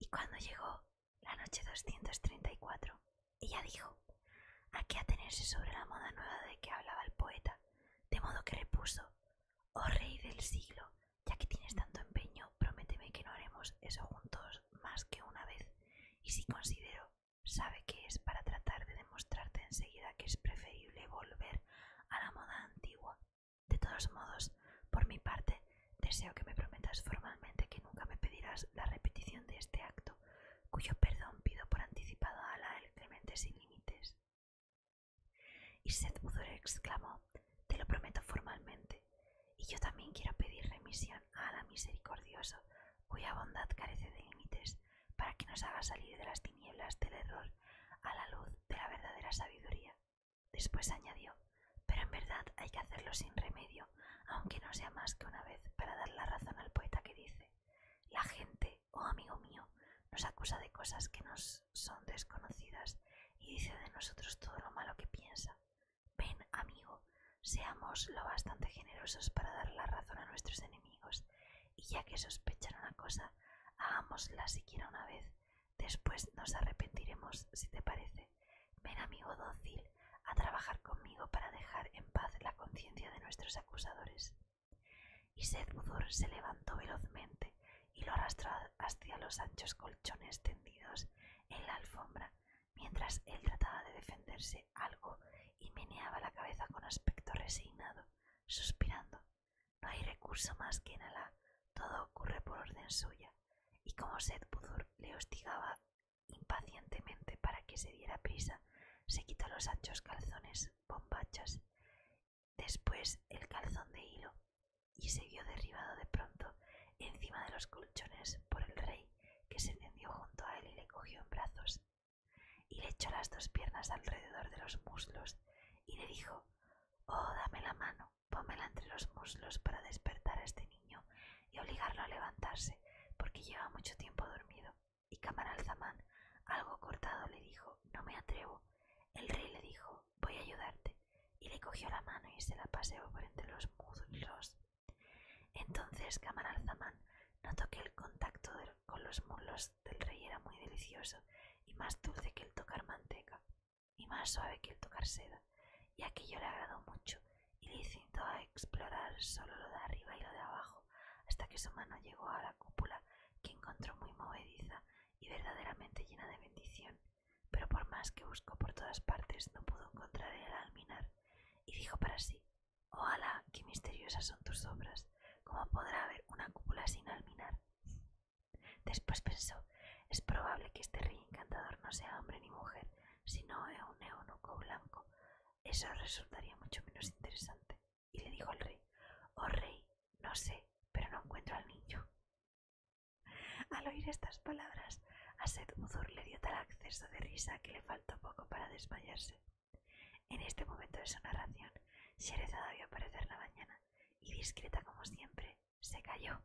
Y cuando llegó la noche 234, ella dijo, ¿a qué atenerse sobre la moda nueva de que hablaba el poeta? De modo que repuso, oh rey del siglo, ya que tienes tanto empeño, prométeme que no haremos eso juntos más que una vez. Y si considero, sabe que es para tratar de demostrarte enseguida que es preferible volver a la moda antigua. De todos modos, por mi parte, deseo que me prometas formalmente que nunca me pedirás la repetición de este acto, cuyo perdón pido por anticipado a la el clemente sin límites. Y Seth exclamó, te lo prometo formalmente, y yo también quiero pedir remisión a la misericordioso, cuya bondad carece de límites, para que nos haga salir de las tinieblas del error a la luz de la verdadera sabiduría. Después añadió, pero en verdad hay que hacerlo sin remedio, aunque no sea más que una vez para dar la razón al poeta que dice, la gente, oh amigo mío, nos acusa de cosas que nos son desconocidas y dice de nosotros todo lo malo que piensa. Ven, amigo, seamos lo bastante generosos para dar la razón a nuestros enemigos, y ya que sospechan una cosa, hagámosla siquiera una vez. Después nos arrepentiremos, si te parece. Ven, amigo dócil, a trabajar conmigo para dejar en paz la conciencia de nuestros acusadores. Y Sedbudur se levantó velozmente y lo arrastró hacia los anchos colchones tendidos en la alfombra mientras él trataba de defenderse algo y meneaba la cabeza con aspecto resignado, suspirando. No hay recurso más que en todo ocurre por orden suya, y como sed pudor le hostigaba impacientemente para que se diera prisa, se quitó los anchos calzones, bombachas, después el calzón de hilo y se vio derribado de pronto encima de los colchones por el rey, que se tendió junto a él y le cogió en brazos, y le echó las dos piernas alrededor de los muslos, y le dijo Oh, dame la mano, pónmela entre los muslos para despertar a este niño y obligarlo a levantarse, porque lleva mucho tiempo dormido. Y Camaralzamán, algo cortado, le dijo, No me atrevo. El rey le dijo, Voy a ayudarte y le cogió la mano y se la paseó por entre los muslos. Entonces Camaralzaman notó que el contacto con los muslos del rey era muy delicioso y más dulce que el tocar manteca y más suave que el tocar seda, y aquello le agradó mucho y le incitó a explorar solo lo de arriba y lo de abajo hasta que su mano llegó a la cúpula que encontró muy movediza y verdaderamente llena de bendición pero por más que buscó por todas partes no pudo encontrar el alminar y dijo para sí, ¡oh, alá, qué misteriosas son tus obras, ¿cómo podrá haber una cúpula sin alminar? Después pensó, es probable que este rey encantador no sea hombre ni mujer, sino un eunuco blanco. Eso resultaría mucho menos interesante. Y le dijo al rey, oh rey, no sé, pero no encuentro al niño. Al oír estas palabras, a Seth le dio tal acceso de risa que le faltó poco para desmayarse. En este momento de su narración, Shereza vio aparecer la mañana y, discreta como siempre, se cayó.